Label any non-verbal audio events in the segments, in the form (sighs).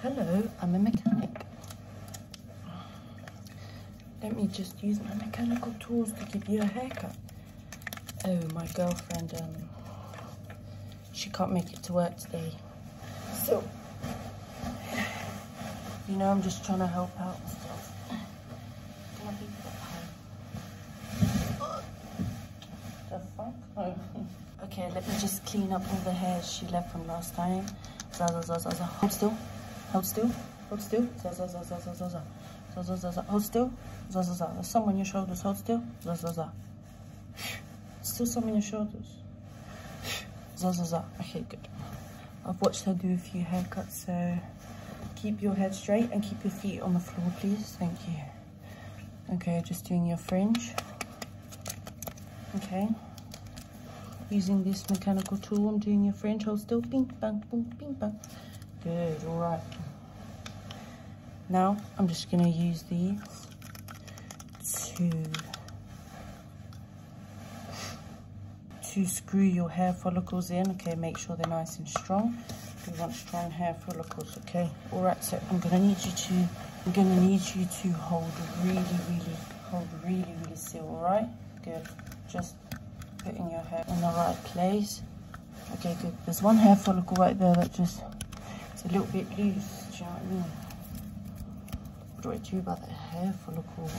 Hello, I'm a mechanic. Let me just use my mechanical tools to give you a haircut. Oh, my girlfriend, um, she can't make it to work today. So, you know, I'm just trying to help out the fuck? (laughs) Okay, let me just clean up all the hair she left from last time. Zaza, zaza, zaza. Hold still. Hold still. Hold still. Zaza, zaza, zaza, zaza. Zaza, zaza. Hold still. Zaza, zaza. There's some on your shoulders. Hold still. Zaza, zaza. Still some on your shoulders. Zaza, zaza. Okay, good. I've watched her do a few haircuts, so keep your head straight and keep your feet on the floor, please. Thank you. Okay, just doing your fringe okay using this mechanical tool I'm doing a French hold still ping bang boom ping bang good all right now I'm just gonna use these to to screw your hair follicles in okay make sure they're nice and strong we want strong hair follicles okay all right so I'm gonna need you to I'm gonna need you to hold really, really, hold really, really still, all right? Good, just putting your hair in the right place. Okay, good. There's one hair follicle right there that just, it's a little bit loose, do you know what I mean? What do I do about that hair follicle?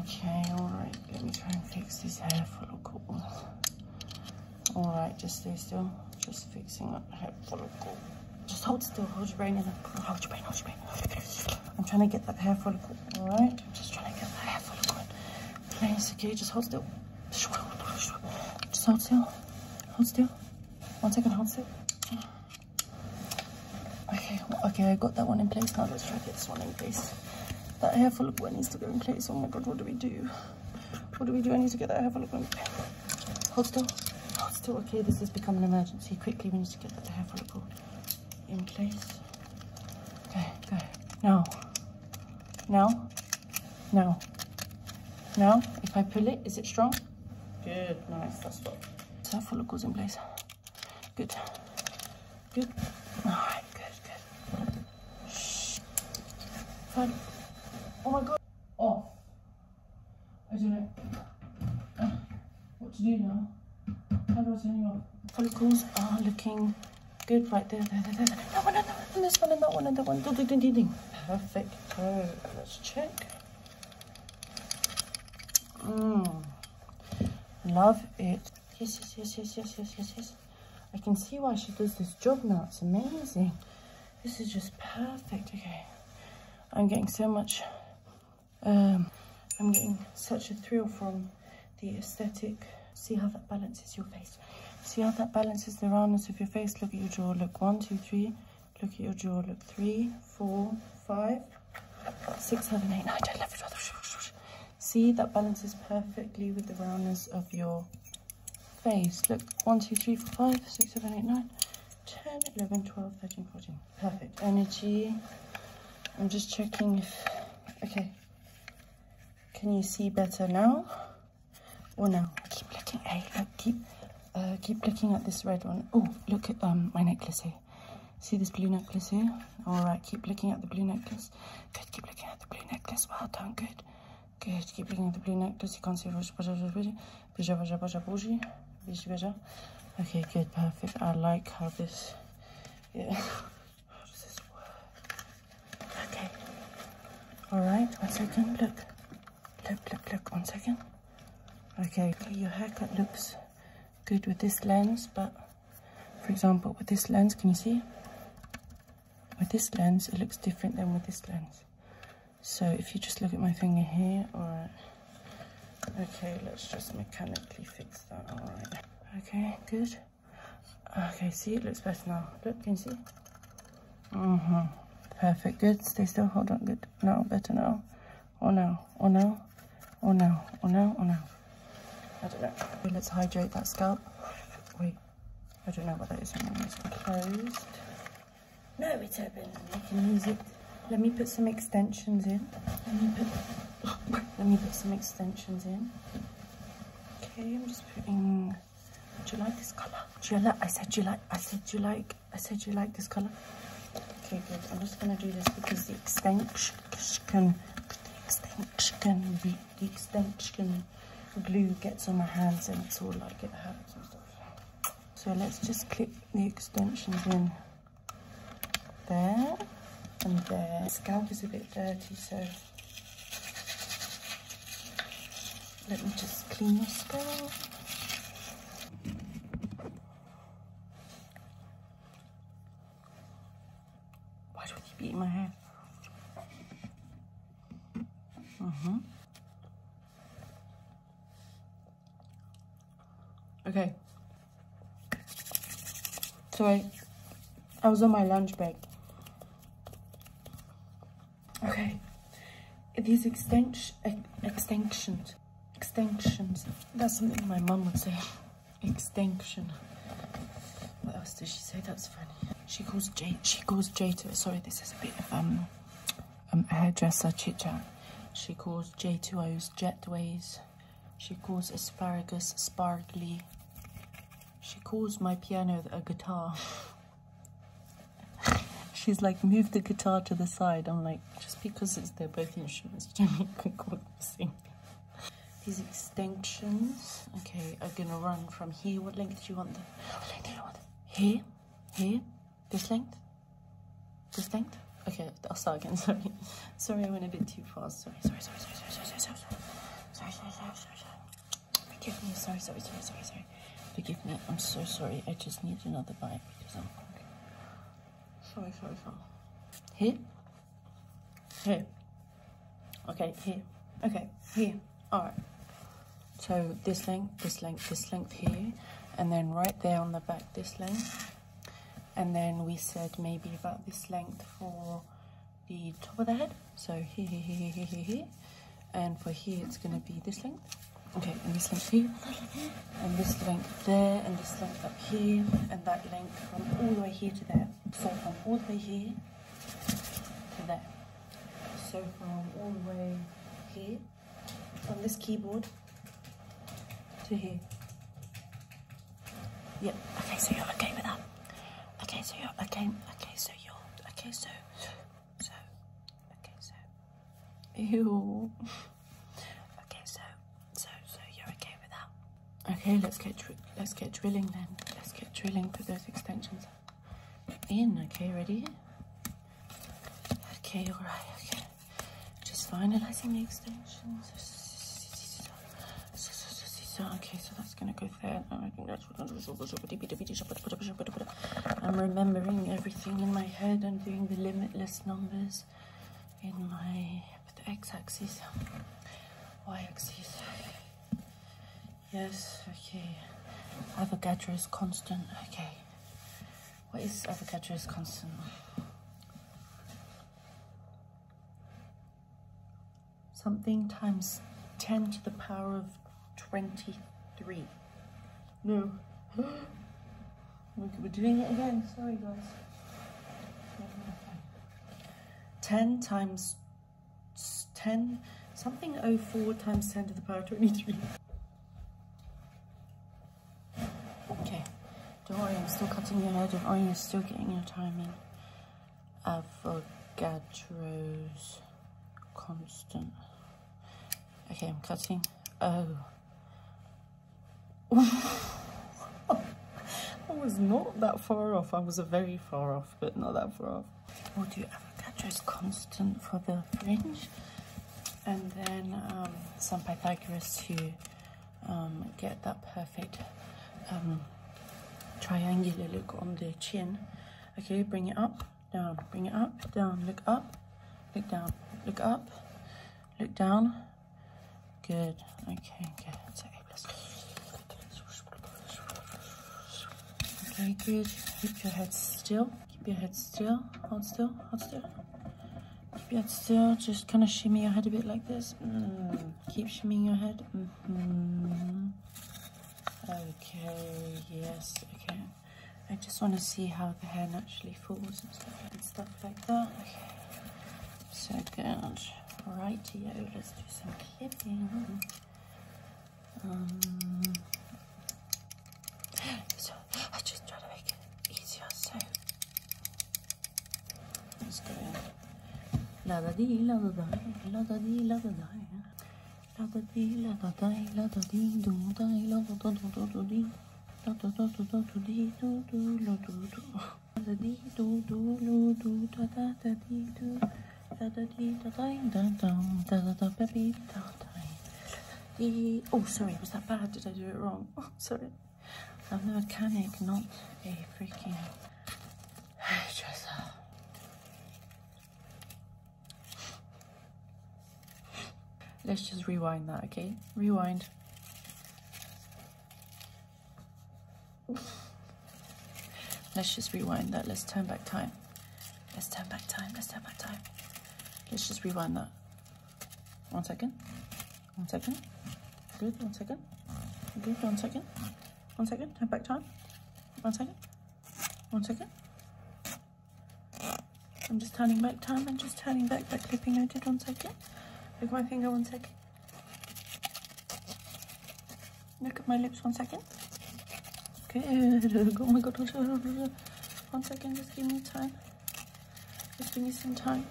Okay, all right, let me try and fix this hair follicle. All right, just stay still. Just fixing up the hair follicle. Just hold still, hold your brain in it. Hold your brain, hold your brain. I'm trying to get that hair follicle, all right? I'm just trying to get that hair follicle in place, okay? Just hold still. Just hold still. Hold still. One second, hold still. Okay, okay, I got that one in place. Now let's try to get this one in place. That hair follicle needs to go in place. Oh my God, what do we do? What do we do? I need to get that hair follicle in place. Hold still. Hold still. Okay, this has become an emergency. Quickly, we need to get the hair follicle in place. Okay, go. Now. Now. Now. Now. If I pull it, is it strong? Good. Nice. That's what. So hair follicle's in place. Good. Good. All right. Good. Good. Fine. Oh my god. Off. I don't know what to do now. How do I turn you off? Follicles are looking good right there, That one, and that one, and this one, and that one, and that one. Ding, ding, ding, ding. Perfect. let's check. Mmm. Love it. Yes, yes, yes, yes, yes, yes, yes, yes. I can see why she does this job now. It's amazing. This is just perfect, okay. I'm getting so much, um, I'm getting such a thrill from the aesthetic. See how that balances your face. See how that balances the roundness of your face. Look at your jaw, look one, two, three. Look at your jaw, look three, four, five, six, seven, eight, nine, ten, eleven, twelve. See, that balances perfectly with the roundness of your face. Look, one, two, three, four, five, six, seven, eight, nine. 10, 11, 12, 13, 14. Perfect. Energy. I'm just checking Okay. Can you see better now? Or no? Keep looking. Hey, keep, uh, keep looking at this red one. Oh, look at um, my necklace here. See this blue necklace here? All right, keep looking at the blue necklace. Good, keep looking at the blue necklace. Well done, good. Okay, I have to keep picking the blue necklace. You can't see which Okay, good, perfect. I like how this yeah. how does this work? Okay. Alright, one second, look. Look, look, look, one second. Okay, your haircut looks good with this lens, but for example, with this lens, can you see? With this lens, it looks different than with this lens. So if you just look at my finger here, all right. Okay, let's just mechanically fix that, all right. Okay, good. Okay, see, it looks better now. Look, can you see? hmm Perfect, good, stay still, hold on, good. No, better now. Oh no. Oh no. Oh no. Oh no. Oh no. I don't know. let's hydrate that scalp. Wait, I don't know what that is. It's closed. No, it's open. You can use it. Let me put some extensions in. Let me put, (laughs) let me put some extensions in. Okay, I'm just putting. Do you like this color? Do you like? I said you like. I said you like. I said you like this color. Okay, good. I'm just gonna do this because the extension, the extension, the, the extension glue gets on my hands and it's all like it hurts and stuff. So let's just clip the extensions in there and there. The scalp is a bit dirty, so let me just clean your scalp. Why do you keep my hair? Mm-hmm. Okay. Sorry, I, was on my lunch break. Okay. These extension, extensions, extensions. That's something my mum would say. Extinction. What else did she say? That's funny. She calls Jay. She calls to. Sorry, this has been a bit of um, um, hairdresser chit chat. She calls J2O's jetways. She calls asparagus sparkly. She calls my piano a guitar. (laughs) She's like, move the guitar to the side. I'm like, just because it's they both instruments, you don't make them the them These extensions, okay, are gonna run from here. What length do you want them? What length do you want them? Here, here, this length? This length? Okay, I'll start again, sorry. Sorry, I went a bit too fast. Sorry, sorry, sorry, sorry, sorry, sorry, sorry, sorry, sorry, sorry, sorry, sorry. Forgive me, sorry, sorry, sorry, sorry, sorry. Forgive me, I'm so sorry. I just need another bite because I'm hungry. Sorry, sorry, sorry. Here? Here. Okay, here. Okay, here. Alright. So this length, this length, this length here, and then right there on the back, this length. And then we said maybe about this length for the top of the head. So here, here, here, here, here, here. And for here, it's gonna be this length. Okay, and this length here, and this length there, and this length up here, and that length from all the way here to there. So from all the way here to that. So from all the way here from this keyboard to here. Yep. Okay, so you're okay with that. Okay, so you're okay. Okay, so you're okay. So, so, okay, so. Ew. Okay, so, so, so you're okay with that. Okay, let's get let's get drilling then. Let's get drilling for those extensions in. Okay, ready? Okay, all right, okay. Just finalizing the extensions. Okay, so that's gonna go there. Oh, I am remembering everything in my head. I'm doing the limitless numbers in my x-axis, y-axis. Yes, okay. Avogadro's constant. Okay. What is Avogadro's constant? Something times 10 to the power of 23. No. (gasps) We're doing it again. Sorry, guys. 10 times 10, something 04 times 10 to the power 23. Okay, don't worry, I'm still cutting your hair, don't you're still getting your timing. in. Avogadro's constant. Okay, I'm cutting. Oh. (laughs) I was not that far off. I was very far off, but not that far off. we do avocado's constant for the fringe and then um, some Pythagoras to um, get that perfect um, triangular look on the chin. Okay, bring it up, down, bring it up, down, look up, look down, look up, look down. Good, okay, good. So A plus. Okay, good. Keep your head still. Keep your head still. Hold still. Hold still. Keep your head still. Just kind of shimmy your head a bit like this. Mm. Keep shimmying your head. Mm-hmm. Okay. Yes. Okay. I just want to see how the hair naturally falls and stuff, like that. Okay. So good. Righty-o. Let's do some clipping. Um, so I just try to make it easier. So let's go. La da dee, la da da, la da dee, la da da, la da dee, la da da, la da dee, do da, la da da do do do dee, la da da do do do dee, do do la do do, la da dee, do do lo do da da da dee do, la da dee da da da da da da da da da da the oh sorry was that bad did I do it wrong (laughs) oh sorry I'm now a canic not a freaking let's just rewind that okay rewind let's just rewind that let's turn back time Let's turn back time. Let's turn back time. Let's just rewind that. One second. One second. Good. One second. Good. One second. One second. Turn back time. One second. One second. I'm just turning back time. I'm just turning back that clipping I did. One second. Look at my finger. One second. Look at my lips. One second. Good. (laughs) Oh my god. One second. Just give me time. Just give me some time.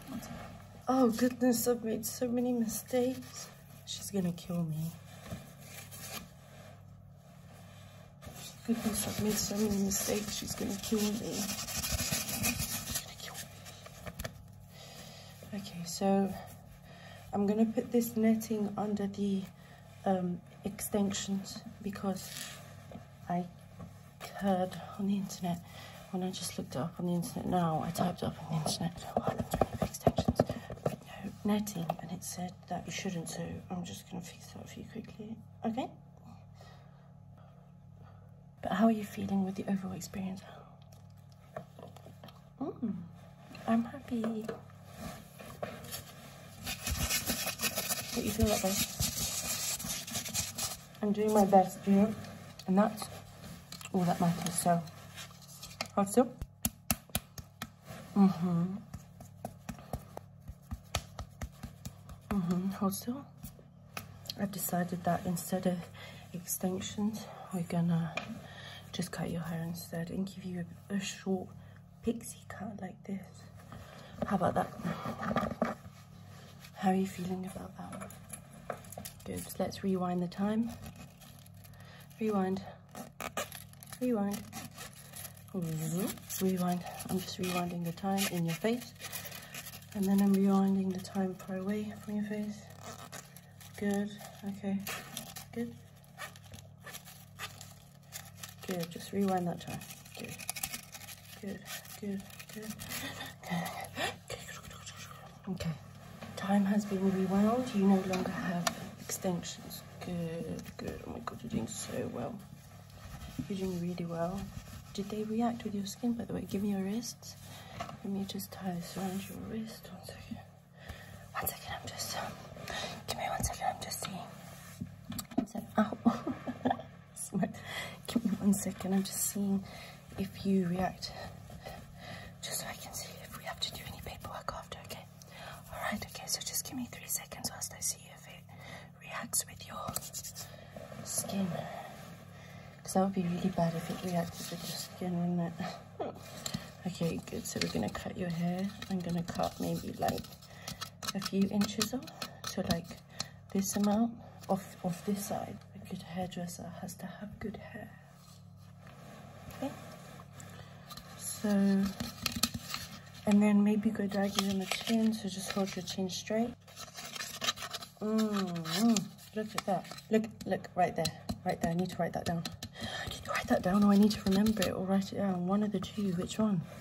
Oh goodness. I've made so many mistakes. She's gonna kill me. Goodness, I've made so many mistakes. She's gonna kill me. Okay, so I'm gonna put this netting under the um, extensions because I heard on the internet, when I just looked up on the internet now, I typed up on the internet extensions netting and it said that you shouldn't so I'm just going to fix that for you quickly, okay? But how are you feeling with the overall experience? Hmm, I'm happy. But you feel that way. I'm doing my best, you know? And that's all that matters, so. Hold still. Mm-hmm. Mm-hmm, hold still. I've decided that instead of extensions, we're gonna just cut your hair instead and give you a short pixie cut like this. How about that? How are you feeling about that? Good, let's rewind the time. Rewind, rewind, rewind. I'm just rewinding the time in your face. And then I'm rewinding the time far away from your face. Good, okay, good. Good, just rewind that time. Good, good, good, good. good. Okay, time has been rewound. You no longer have extensions. Good, good. Oh my god, you're doing so well. You're doing really well. Did they react with your skin, by the way? Give me your wrist. Let me just tie this around your wrist. One second. One second, I'm just... give me one second, I'm just seeing. So, ow. (laughs) Give me one second. I'm just seeing if you react. Just so I can see if we have to do any paperwork after, okay? Alright, okay, so just give me three seconds whilst I see if it reacts with your skin. Because that would be really bad if it reacted with your skin, wouldn't it? (laughs) okay, good. So we're going to cut your hair. I'm going to cut maybe like a few inches off so like this amount off of this side a good hairdresser has to have good hair okay so and then maybe go diagonal to the chin so just hold your chin straight mm, look at that look look right there right there i need to write that down i need to write that down Oh, i need to remember it or write it down one of the two which one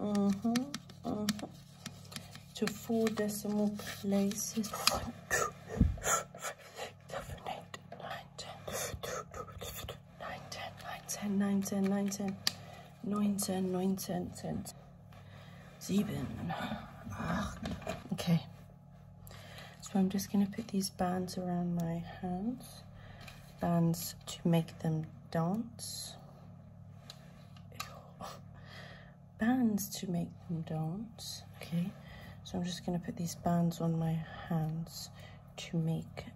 Mm-hmm, mm-hmm. To four decimal places. One, two, seven, eight, nine, ten, nine, ten, nine, ten, nine, ten, nine, ten, nine, ten, nine, ten, ten, sieben, Okay. So I'm just gonna put these bands around my hands, bands to make them dance bands to make them dance okay so I'm just going to put these bands on my hands to make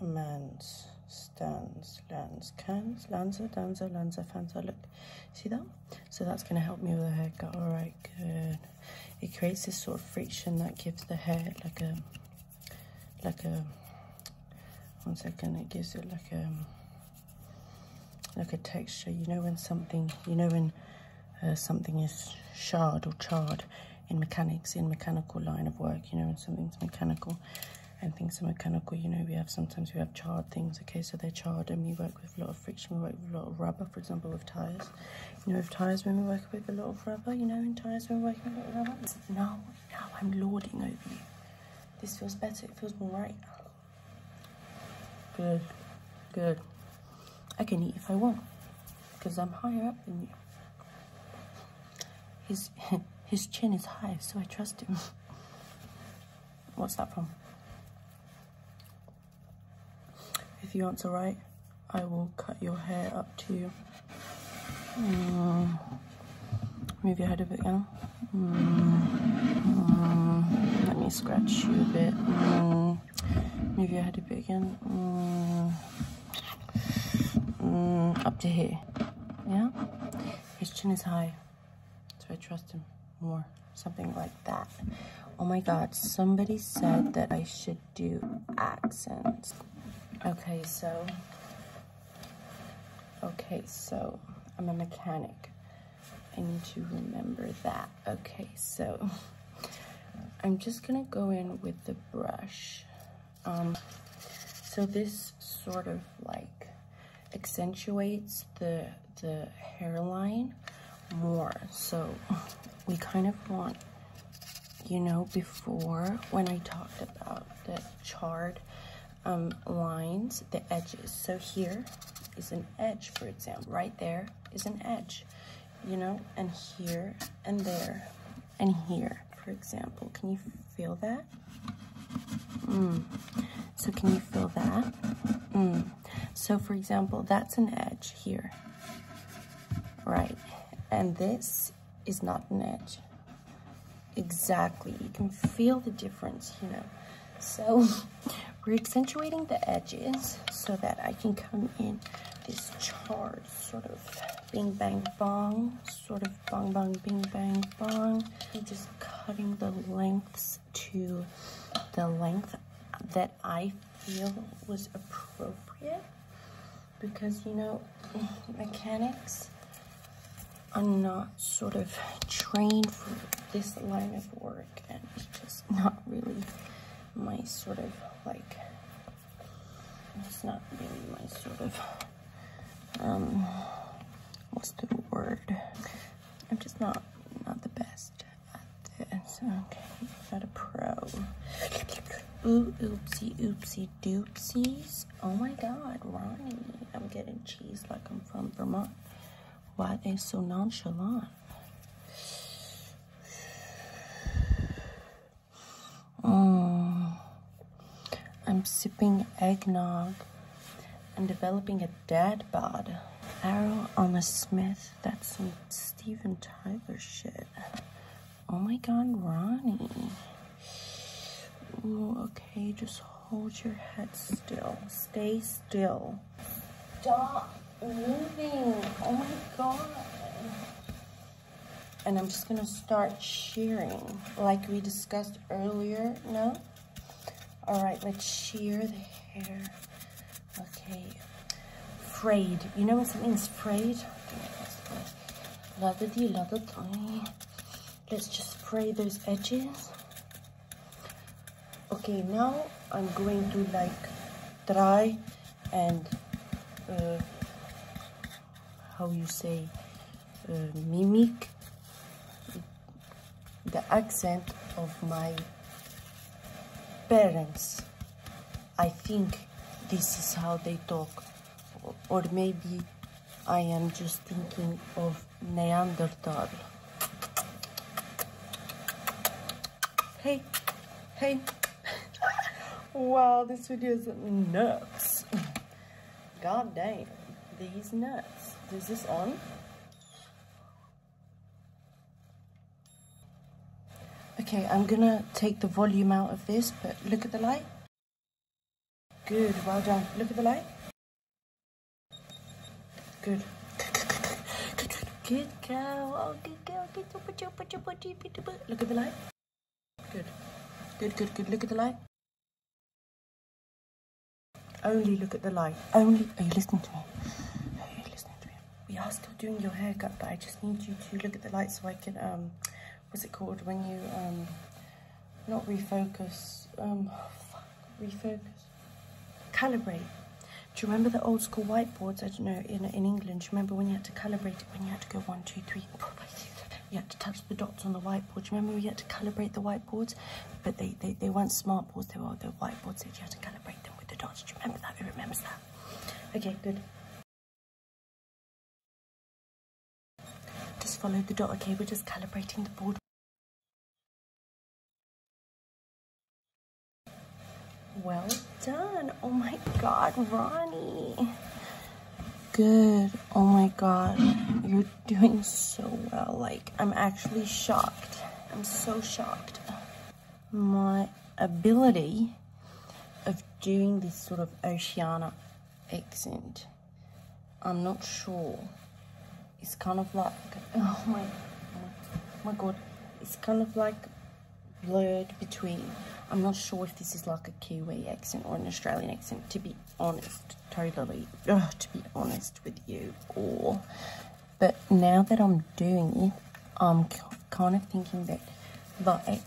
man's stands lands cans lanza danza lanza fanza look see that so that's going to help me with the haircut all right good it creates this sort of friction that gives the hair like a like a one second it gives it like a um, like a texture you know when something you know when uh, something is charred or charred in mechanics in mechanical line of work you know when something's mechanical and things are mechanical you know we have sometimes we have charred things okay so they're charred and we work with a lot of friction we work with a lot of rubber for example with tires you know with tires when we work with a lot of rubber you know in tires when we work with a lot of rubber No. Now I'm lording over you. This feels better, it feels more right. Good, good. I can eat if I want, because I'm higher up than you. His, (laughs) his chin is high, so I trust him. What's that from? If you answer right, I will cut your hair up to you. Uh, move your head a bit now. Mm. Mm. Let me scratch you a bit. Mm, move your head a bit again. Mm, mm, up to here. Yeah? His chin is high, so I trust him more. Something like that. Oh my god, somebody said that I should do accents. Okay, so, okay, so I'm a mechanic. I need to remember that. Okay, so I'm just gonna go in with the brush. Um, so this sort of like accentuates the, the hairline more. So we kind of want you know before when I talked about the charred um, lines, the edges. So here is an edge, for example. Right there is an edge, you know, and here and there and here, for example. Can you feel that? Mm. So can you feel that? Mm. So for example, that's an edge here, right? And this is not an edge. Exactly, you can feel the difference, you know. So (laughs) we're accentuating the edges so that I can come in this charred sort of bing bang bong, sort of bong bong bing bang bong. I'm just cutting the lengths to the length that I feel was appropriate because you know mechanics are not sort of trained for this line of work and it's just not really my sort of like it's not really my sort of um what's the word I'm just not not the best at this okay not a pro Ooh, oopsie oopsie you doopsies. Oh my god, Ronnie. I'm getting cheese like I'm from Vermont. Why they so nonchalant? Mm. I'm sipping eggnog. I'm developing a dad bod. Arrow on a Smith. That's some Steven Tyler shit. Oh my god, Ronnie. Ooh, okay, just hold your head still. Stay still. Stop moving. Oh my god. And I'm just gonna start cheering like we discussed earlier, no? All right, let's shear the hair. Okay, frayed. You know what something's frayed? another deal, another Let's just spray those edges. Okay, now I'm going to like try and uh, how you say uh, mimic the accent of my parents I think this is how they talk. Or maybe I am just thinking of Neanderthal. Hey, hey. (laughs) wow, this video is nuts. God damn, these nuts. Is this on? Okay, I'm gonna take the volume out of this, but look at the light. Good, well done. Look at the light. Good. Good girl. Oh, good girl. Good super super super super. Look at the light. Good. Good, good, good. Look at the light. Only look at the light. Only. Are you listening to me? Are you listening to me? We are still doing your haircut, but I just need you to look at the light so I can um what's it called when you um, not refocus, um, refocus, calibrate. Do you remember the old school whiteboards? I don't know in in England. Do you remember when you had to calibrate it? When you had to go one, two, three. (laughs) You had to touch the dots on the whiteboard. Do you remember we had to calibrate the whiteboards? But they, they, they weren't smartboards. They were the whiteboards you had to calibrate them with the dots. Do you remember that? Who remembers that? Okay, good. Just follow the dot, okay? We're just calibrating the board. Well done. Oh my God, Ronnie. Good. Oh my God. You're doing so well. Like, I'm actually shocked. I'm so shocked. My ability of doing this sort of Oceana accent. I'm not sure. It's kind of like, (laughs) oh my, my god, it's kind of like blurred between. I'm not sure if this is like a Kiwi accent or an Australian accent, to be honest, totally, (sighs) to be honest with you all. But now that I'm doing it, I'm kind of thinking that the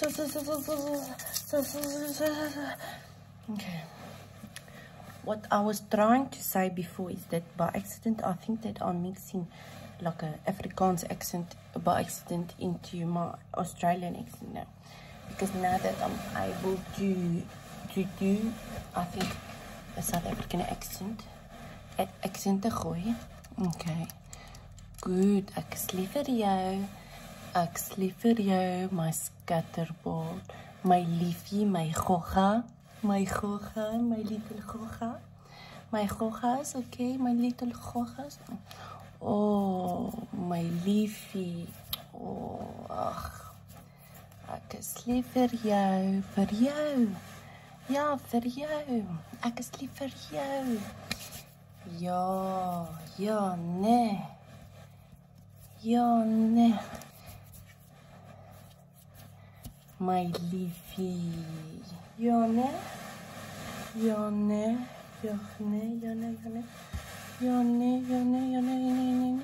Okay. What I was trying to say before is that by accident, I think that I'm mixing like an Afrikaans accent by accident into my Australian accent now. Because now that I'm able to, to do, I think, a South African accent, accent the gooi. Okay. Goed, ek is lief vir jou. Ek is lief vir jou, my skatterbal. My liefie, my gogga. My gogga, my little gogga. My gogga is oké, okay, my little gogga is... O, oh, my liefie. O, oh, ach. Ek is lief vir jou, vir jou. Ja, vir jou. Ek is lief vir jou. よよねよね My leafy よねよねよねよねよねよねよねよねよね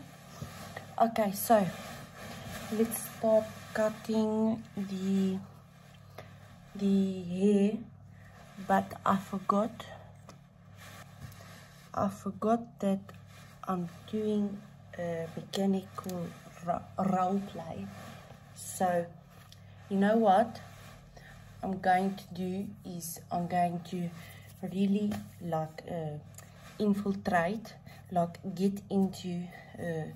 Okay, so let's start cutting the the hair but I forgot I forgot that I'm doing a mechanical role play so you know what I'm going to do is I'm going to really like uh, infiltrate like get into uh,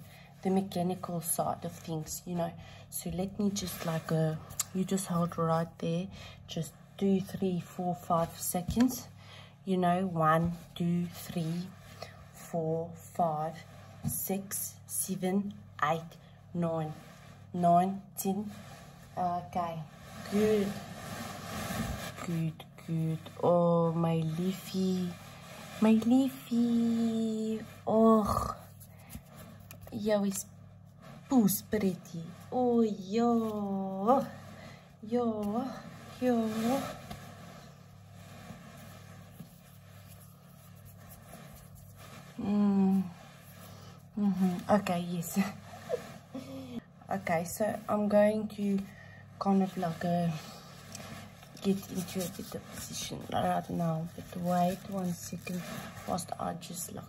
the mechanical side of things you know so let me just like uh, you just hold right there just two three four five seconds you know one two three four five six seven eight nine nine ten okay good good good oh my leafy my leafy oh yeah we Boost pretty. Oh, yo. Yo. Yo. -hmm. Mhm, okay, yes. okay, so I'm going to kind of like a, uh, get into a better position right now. But wait one second second. First I just like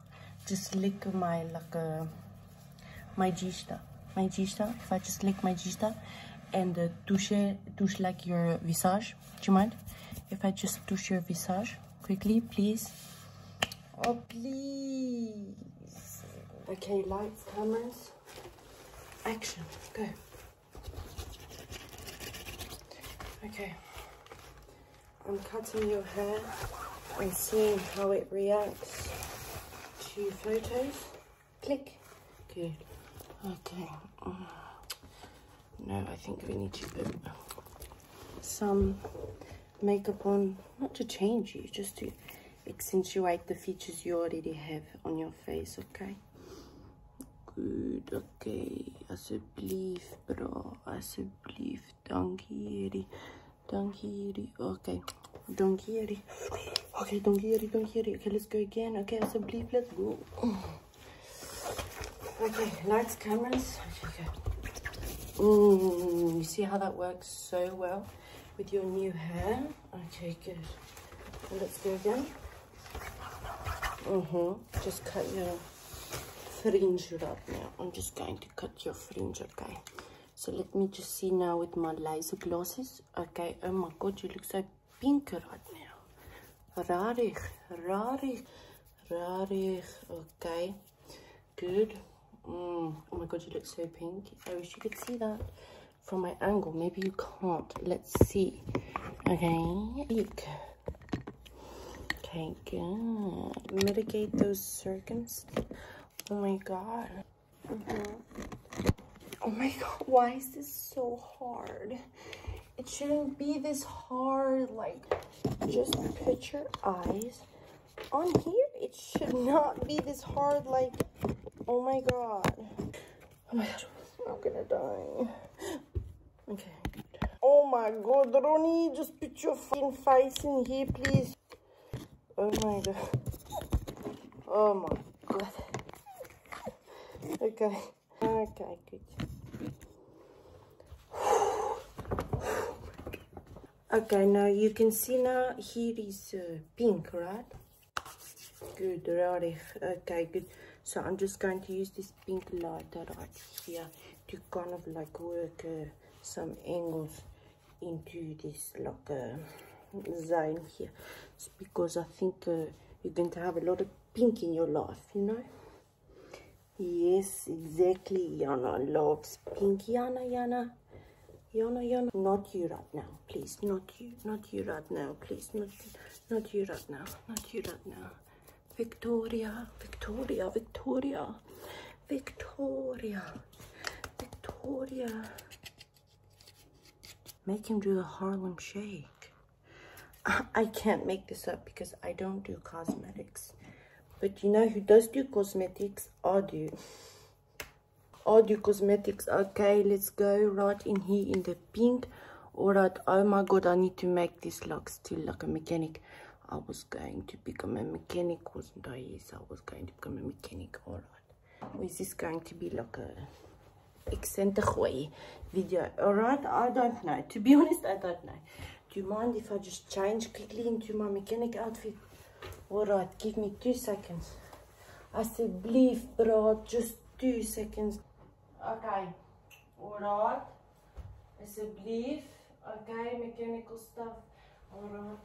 just lick my like uh, my gista my gista if i just lick my gista and touch touch like your visage do you mind if i just touch your visage quickly please oh please okay lights cameras action go okay I'm cutting your hair and seeing how it reacts to photos. Click. Good. Okay. No, I think we need to put some makeup on, not to change you, just to accentuate the features you already have on your face, okay? Good, okay. I said Alsjeblieft, bro. I Alsjeblieft. Dank jullie. Donkey, okay. Donkey, okay, donkey, donkey. Okay, let's go again. Okay, so bleep, let's go. Okay, lights, cameras. Okay, mm, you see how that works so well with your new hair? Okay, good. let's go again. Mm-hmm. Just cut your fringe it up now. I'm just going to cut your fringe, okay? So let me just see now with my laser glasses. Okay, oh my god, you look so pink right now. Rarig, rarig, rarig, okay. Good. Mm, oh my god, you look so pink. I wish you could see that from my angle. Maybe you can't. Let's see. Okay, Okay, good. Mitigate those circumstances. Oh my god. Mm-hmm. Oh my god, why is this so hard? It shouldn't be this hard. Like, just put your eyes on here. It should not be this hard. Like, oh my god. Oh my god, I'm gonna die. Okay. Oh my god, Ronnie, put your fucking face in here, please? Oh my god. Oh my god. Okay. Okay, good. Okay, now you can see now here is uh, pink, right? Good, right. Okay, good. So I'm just going to use this pink lighter right here kind of like work uh, some angles into this like uh, zone here it's because I think uh, you're going to have a lot of pink in your life you know yes exactly Yana loves pink Yana Yana Yana Yana not you right now please not you not you right now please not not you right now not you right now Victoria Victoria Victoria Victoria. Victoria. Make him do the Harlem Shake. (laughs) I can't make this up because I don't do cosmetics. But you know who does do cosmetics? I do. I do cosmetics. Okay, let's go right in here in the pink. Alright, oh my god, I need to make this look still like a mechanic. I was going to become a mechanic, wasn't I? Yes, I was going to become a mechanic. All right. Well, is this going to be like a eccentric video? All right. I don't know. To be (laughs) honest, I don't know. Do you mind if I just change quickly into my mechanic outfit? All right. Give me two seconds. I said, believe, bro. Just two seconds. Okay. All right. It's a belief, okay, mechanical stuff. Alright.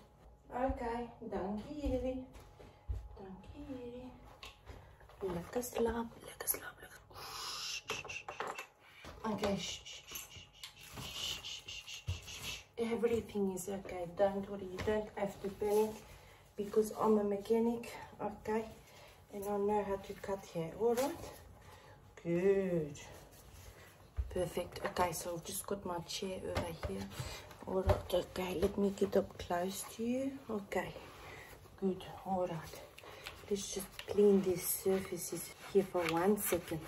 Okay, dankie Dankie Lekker slaap, lekker slaap. Okay, Everything is okay. Don't worry, you don't have to panic because I'm a mechanic, okay? And I know how to cut hair, alright? Good perfect okay so i've just got my chair over here all right okay let me get up close to you okay good all right let's just clean these surfaces here for one second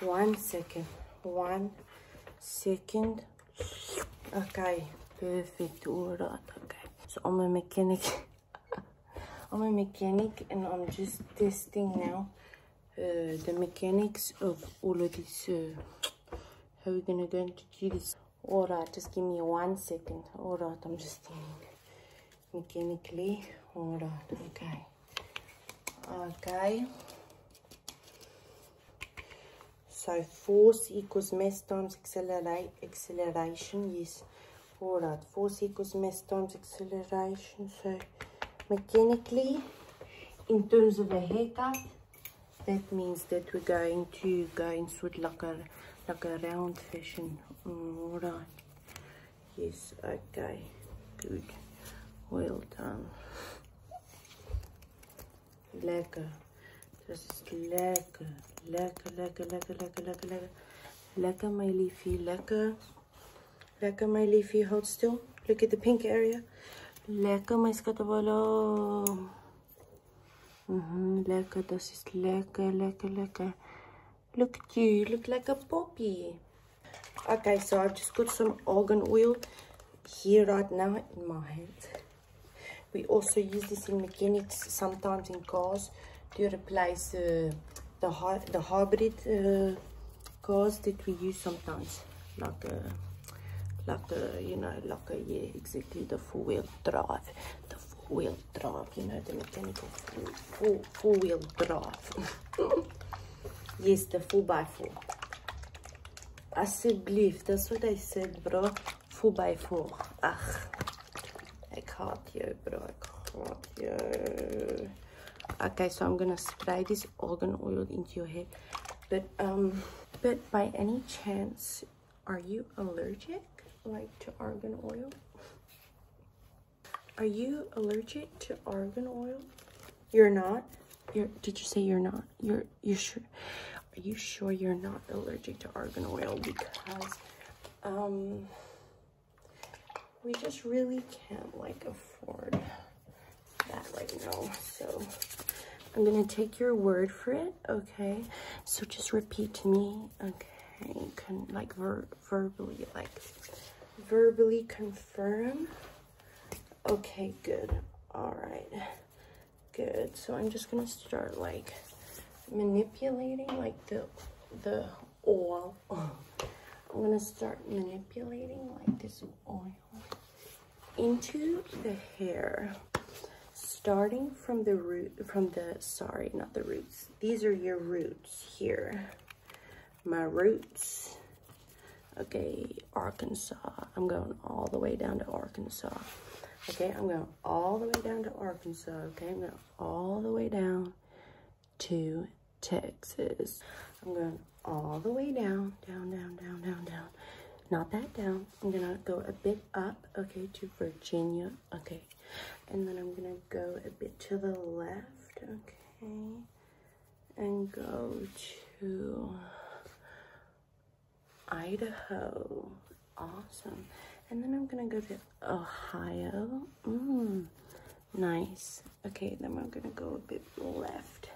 one second one second okay perfect all right okay so i'm a mechanic (laughs) i'm a mechanic and i'm just testing now uh, the mechanics of all of this uh, how we're gonna going to do this all right just give me one second all right i'm just doing mechanically all right okay okay so force equals mass times accelerate acceleration yes all right force equals mass times acceleration so mechanically in terms of the haircut that means that we're going to go in sort like a like a round fashion all right yes okay good well done lekker dat is lekker lekker lekker lekker lekker lekker lekker lekker my liefie lekker Lekker my leafy houd still. Look at the pink area. Lekker mijn skattenballen. Mm -hmm, lekker, dat is lekker, lekker, lekker. Look at you, look like a poppy. Okay, so I've just got some argan oil here right now in my hand. We also use this in mechanics, sometimes in cars, to replace uh, the hard the hybrid uh, cars that we use sometimes like a like a you know like a yeah exactly the four-wheel drive the four-wheel drive you know the mechanical four-wheel drive (laughs) yes the four by four I still believe that's what i said bro four by four ach can't jou bro Okay, so I'm gonna spray this organ oil into your hair. But um, but by any chance, are you allergic like to argan oil? Are you allergic to argan oil? You're not. you did you say you're not? You're you sure? Are you sure you're not allergic to argan oil? Because um, we just really can't like afford that right now. So I'm gonna take your word for it, okay? So just repeat to me, okay? can like ver verbally, like verbally confirm. Okay, good. All right, good. So I'm just gonna start like manipulating like the the oil (sighs) I'm gonna start manipulating like this oil into the hair starting from the root from the sorry not the roots these are your roots here my roots okay arkansas i'm going all the way down to arkansas okay i'm going all the way down to arkansas okay i'm going all the way down to Texas. I'm going all the way down, down, down, down, down, down. Not that down. I'm gonna go a bit up, okay, to Virginia, okay. And then I'm gonna go a bit to the left, okay. And go to Idaho, awesome. And then I'm gonna go to Ohio, mm nice okay then we're gonna go a bit left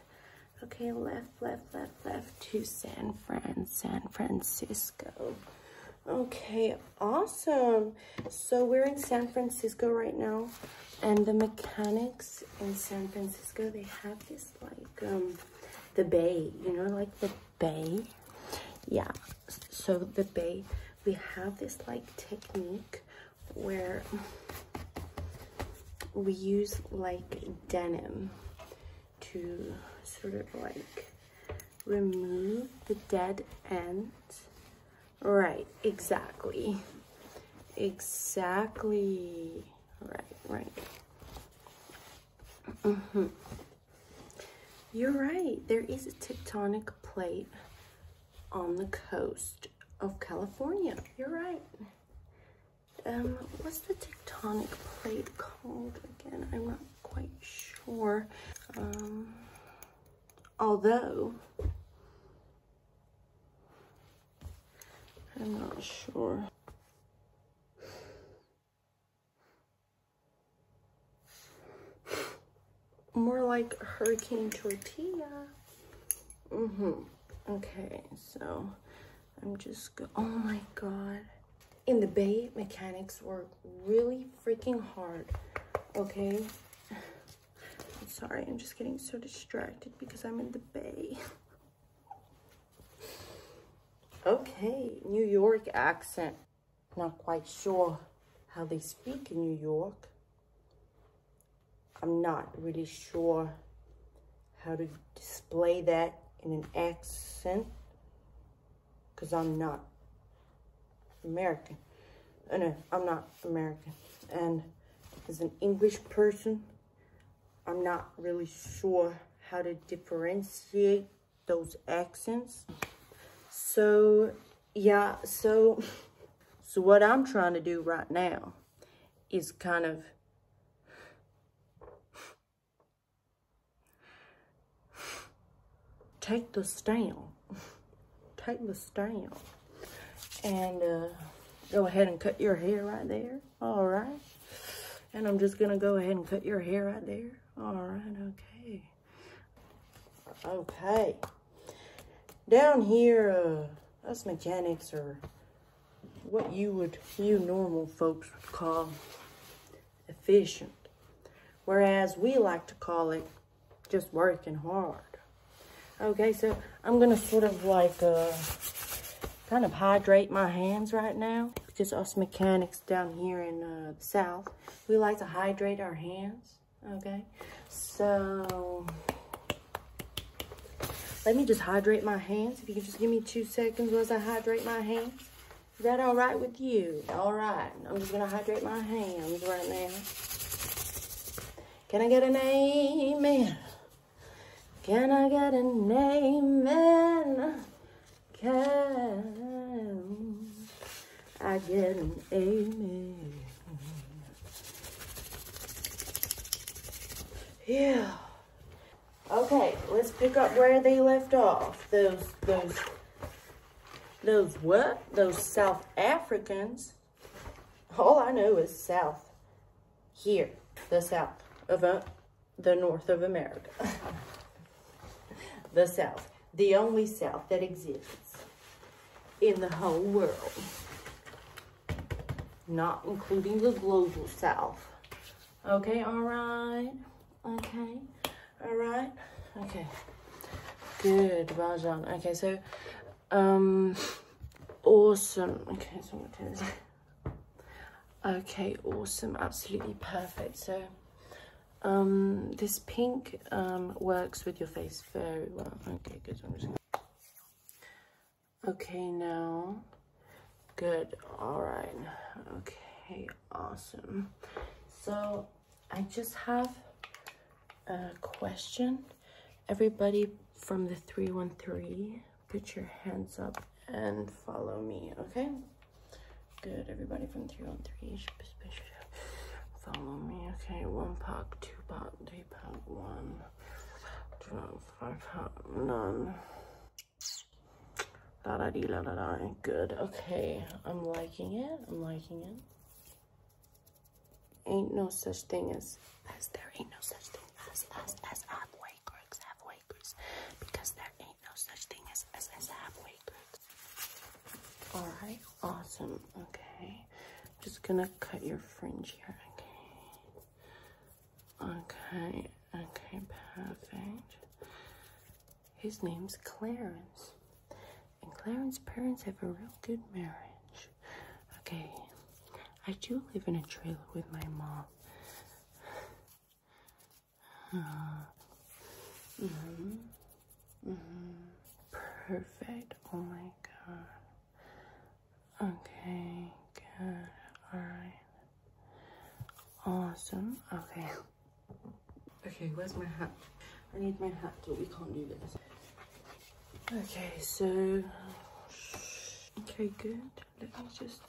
okay left left left left to san fran san francisco okay awesome so we're in san francisco right now and the mechanics in san francisco they have this like um the bay you know like the bay yeah so the bay we have this like technique where we use like denim to sort of like remove the dead ends right exactly exactly right right mm -hmm. you're right there is a tectonic plate on the coast of California. You're right. Um, what's the tectonic plate called again? I'm not quite sure. Um, although, I'm not sure more like a hurricane tortilla. Mm-hmm. Okay, so I'm just oh my god. In the bay, mechanics work really freaking hard. Okay. sorry, I'm just getting so distracted because I'm in the bay. (laughs) okay, New York accent. Not quite sure how they speak in New York. I'm not really sure how to display that in an accent because I'm not American. Oh, no, I'm not American. And as an English person, I'm not really sure how to differentiate those accents. So yeah, so, so what I'm trying to do right now is kind of take the stem, Take the stem, And uh, go ahead and cut your hair right there. All right. And I'm just going to go ahead and cut your hair right there. All right. Okay. Okay. Down here, uh, us mechanics are what you would, you normal folks would call efficient. Whereas we like to call it just working hard. Okay, so I'm going to sort of like, uh, kind of hydrate my hands right now. Because us mechanics down here in uh, the south, we like to hydrate our hands okay? So, let me just hydrate my hands. If you can just give me two seconds once I hydrate my hands. Is that all right with you? All right. I'm just going to hydrate my hands right now. Can I get an amen? Can I get an amen? Can I get an amen? Yeah. Okay, let's pick up where they left off. Those, those, those what? Those South Africans. All I know is South. Here, the South of uh, the North of America. (laughs) the South, the only South that exists in the whole world, not including the global south. Okay, all right. Okay, all right. Okay, good, Bajan. Okay, so, um, awesome. Okay, Okay, awesome, absolutely perfect. So, um, this pink um, works with your face very well. Okay, good. Okay, now, good, all right, okay, awesome. So I just have a question. Everybody from the 313, put your hands up and follow me, okay? Good, everybody from 313, follow me, okay? One pack, two pack, Three pound one, twelve, five pound none. Da da dee la da da. Good. Okay, I'm liking it. I'm liking it. Ain't no such thing as as there ain't no such thing as as as halfway crooks, halfway crooks, because there ain't no such thing as as as halfway crooks. All right. Awesome. Okay. I'm just gonna cut your fringe here, okay? Okay, okay, perfect. His name's Clarence. And Clarence's parents have a real good marriage. Okay, I do live in a trailer with my mom. Uh, mm-hmm. Mm -hmm. Perfect. Oh my god. Okay, good. Alright. Awesome. Okay. Okay, where's my hat? I need my hat, but we can't do this. Okay, so. Okay, good. Let me just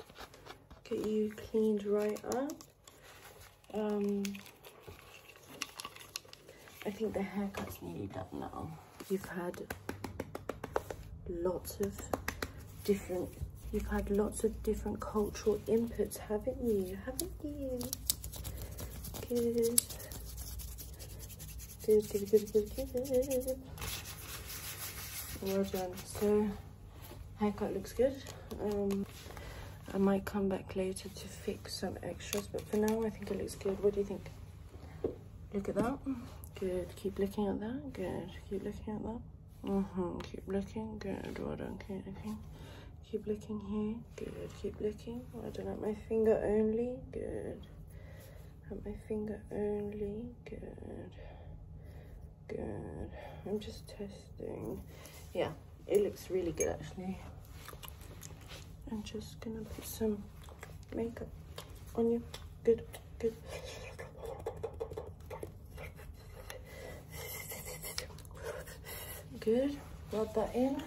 get you cleaned right up. Um, I think the haircut's nearly done now. You've had lots of different, you've had lots of different cultural inputs, haven't you? Haven't you? Good. Good, good, good, good, good. Well done. So, haircut looks good. Um, I might come back later to fix some extras, but for now I think it looks good. What do you think? Look at that. Good. Keep looking at that. Good. Keep looking at that. -hmm. Keep looking. Good. Well done. Keep looking. Keep looking here. Good. Keep looking. Well done. At my finger only. Good. At my finger only. Good. Good. I'm just testing. Yeah. It looks really good actually. I'm just gonna put some makeup on you. Good, good. Good, rub that in.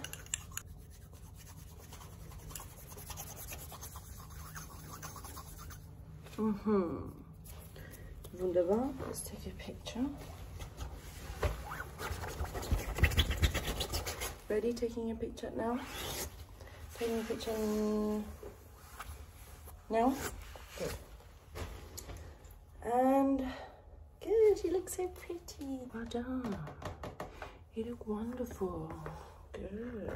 Mm-hmm. Wunderbar, let's take a picture. Ready, taking a picture now? Taking a picture now? Good. And good, you look so pretty. Well done. You look wonderful. Good.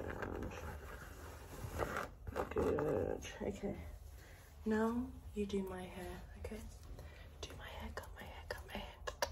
Good. Okay. Now you do my hair, okay? Do my hair, cut my hair, cut my hair.